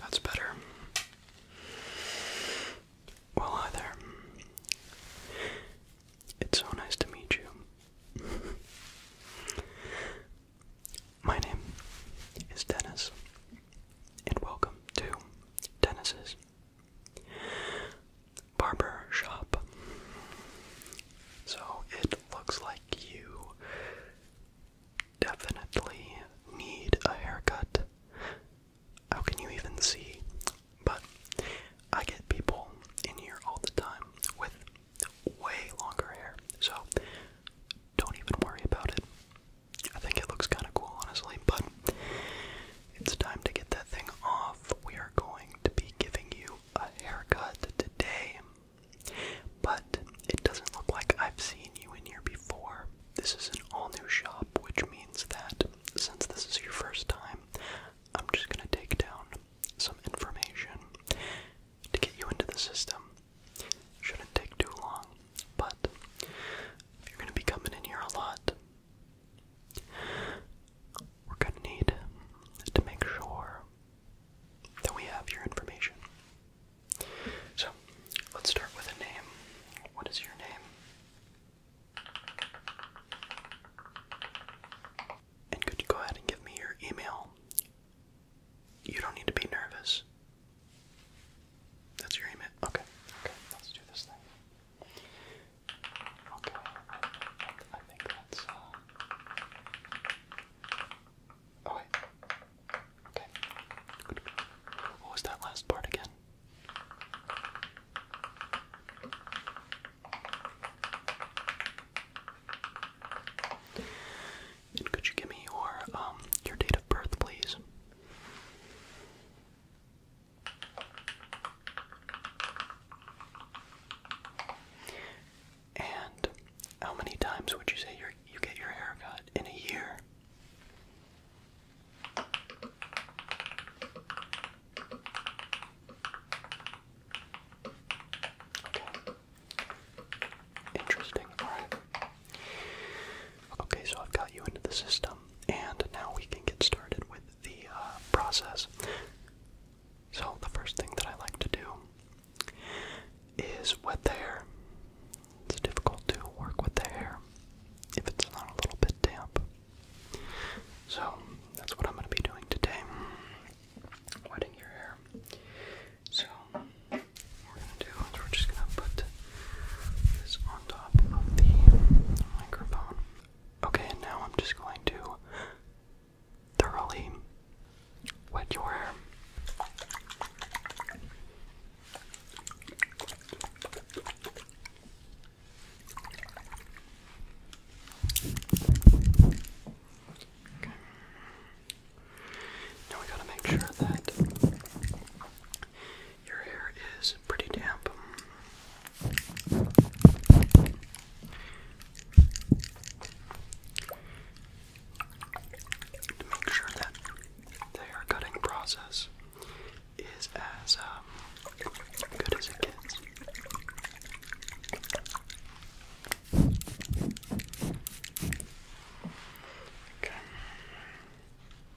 That's better. Well, hi It's so nice to meet you. My name is Dennis, and welcome to Dennis's Barber Shop. So it looks like you definitely need a haircut. How can you even see? But I get people in here all the time with way longer hair, so don't even worry about it. I think it looks kind of cool, honestly, but it's time to get that thing off. We are going to be giving you a haircut today, but it doesn't look like I've seen you in here before. This is an all new shop, which means that since this is your first time, I'm just going to take down some information to get you into the system. Shouldn't take too long, but you're gonna be coming in here a lot, we're gonna need to make sure that we have your information. So, let's start with a name. What is your name? And could you go ahead and give me your email? You don't need to be nervous. That's your email. Okay. Okay. Let's do this thing. Okay. I think that's. Uh, oh wait. Okay. What was that last part again? And could you give me your um your date of birth, please? And how many times would you say you you get your hair cut in a year? Interesting. All right. Okay, so I've got you into the system, and now we can get started with the uh, process. So, the first thing that I like to do is wet the hair. It's difficult to work with the hair if it's not a little bit damp. So, that's what I'm going to be doing today wetting your hair. So, we're just gonna put this on top of the microphone. Okay, and now I'm just going to thoroughly wet your hair. Now we gotta make sure that your hair is pretty damp. To make sure that the hair cutting process is as um, good as it gets. Okay.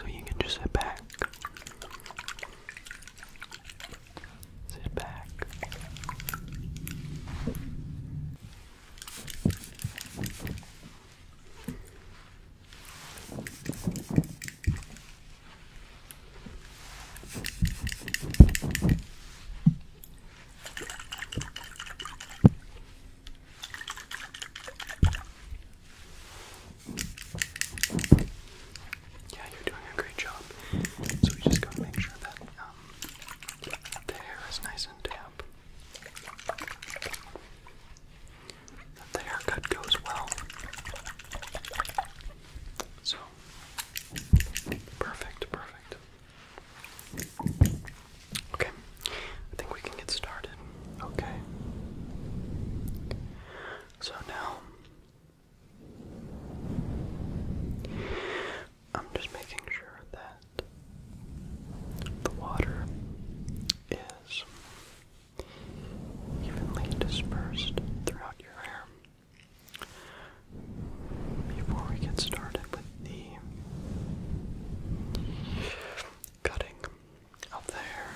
So you can just sit back. Sit back. Yeah, you're doing a great job. So we just gotta make sure that um, the hair is nice and damp the haircut goes well. So, perfect, perfect. Okay, I think we can get started. Okay. So now, I'm just making sure that the water is evenly dispersed throughout your hair. Before we get started with the cutting of the hair,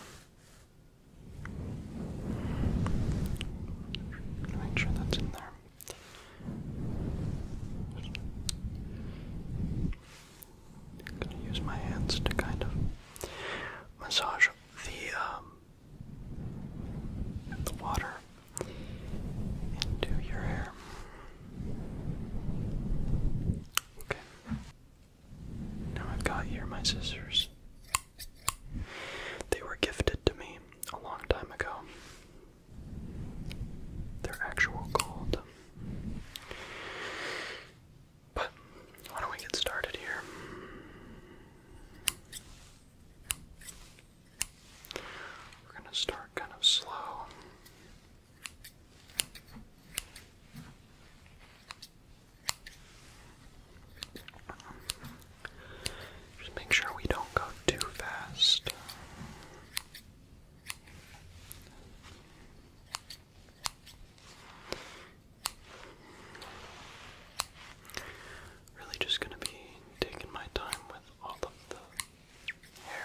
make sure that's in there. I'm gonna use my hands to kind of massage the um, the water into your hair. Okay. Now I've got here my scissors. They were gifted to me a long time ago. They're actual gold. But why don't we get started here? We're going to start kind of slow. Just make sure we don't go too fast. Really, just going to be taking my time with all of the hair.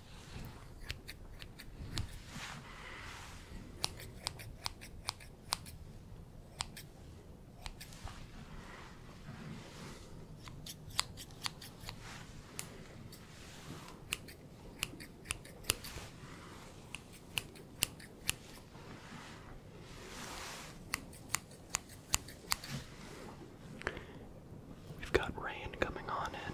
We've got rain coming on in.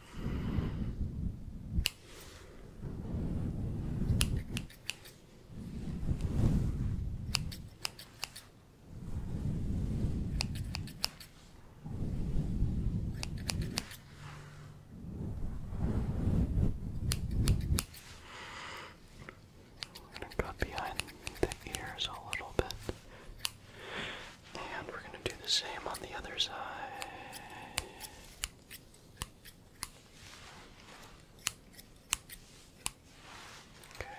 I'm gonna cut behind the ears a little bit. And we're going to do the same on the other side. Okay.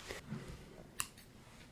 Okay.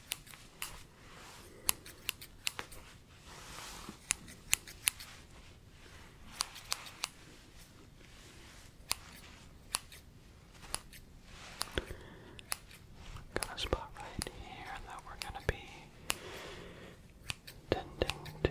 Got a spot right here that we're going to be tending to.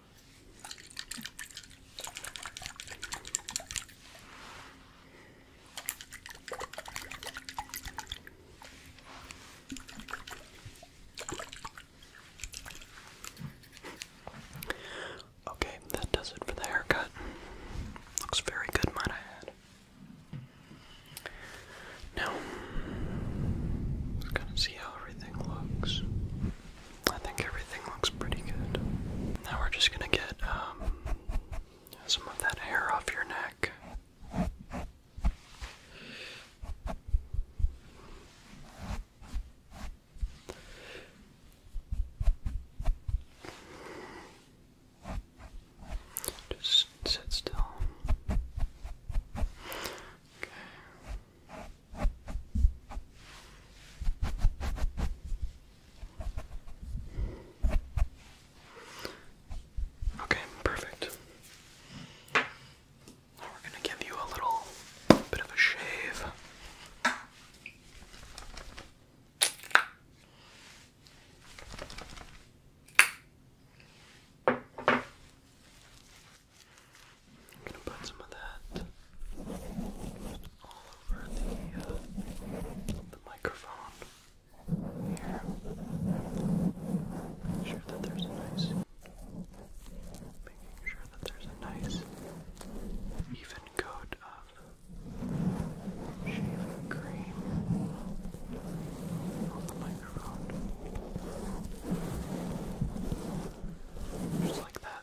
Okay, that does it for the haircut. Looks very good, might I add. Now, let's see how everything looks. I think everything looks pretty good. Now we're just gonna get um, some of that hair off your neck. Just sit still. Okay. Okay, perfect. we're going to give you a little bit of a shave. I'm gonna put some of that all over the uh, the microphone here. Make sure that there's a nice, making sure that there's a nice even coat of shaving cream on the microphone, just like that.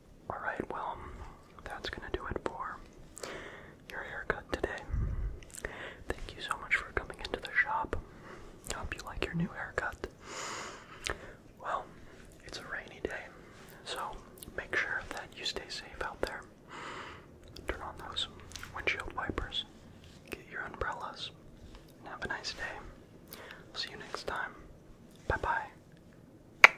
Alright, well, that's gonna do it for your haircut today. Thank you so much for coming into the shop. I hope you like your new haircut. Well, it's a rainy day, so make sure that you stay safe out there. Turn on those windshield wipers, get your umbrellas, and have a nice day. See you next time. Bye bye.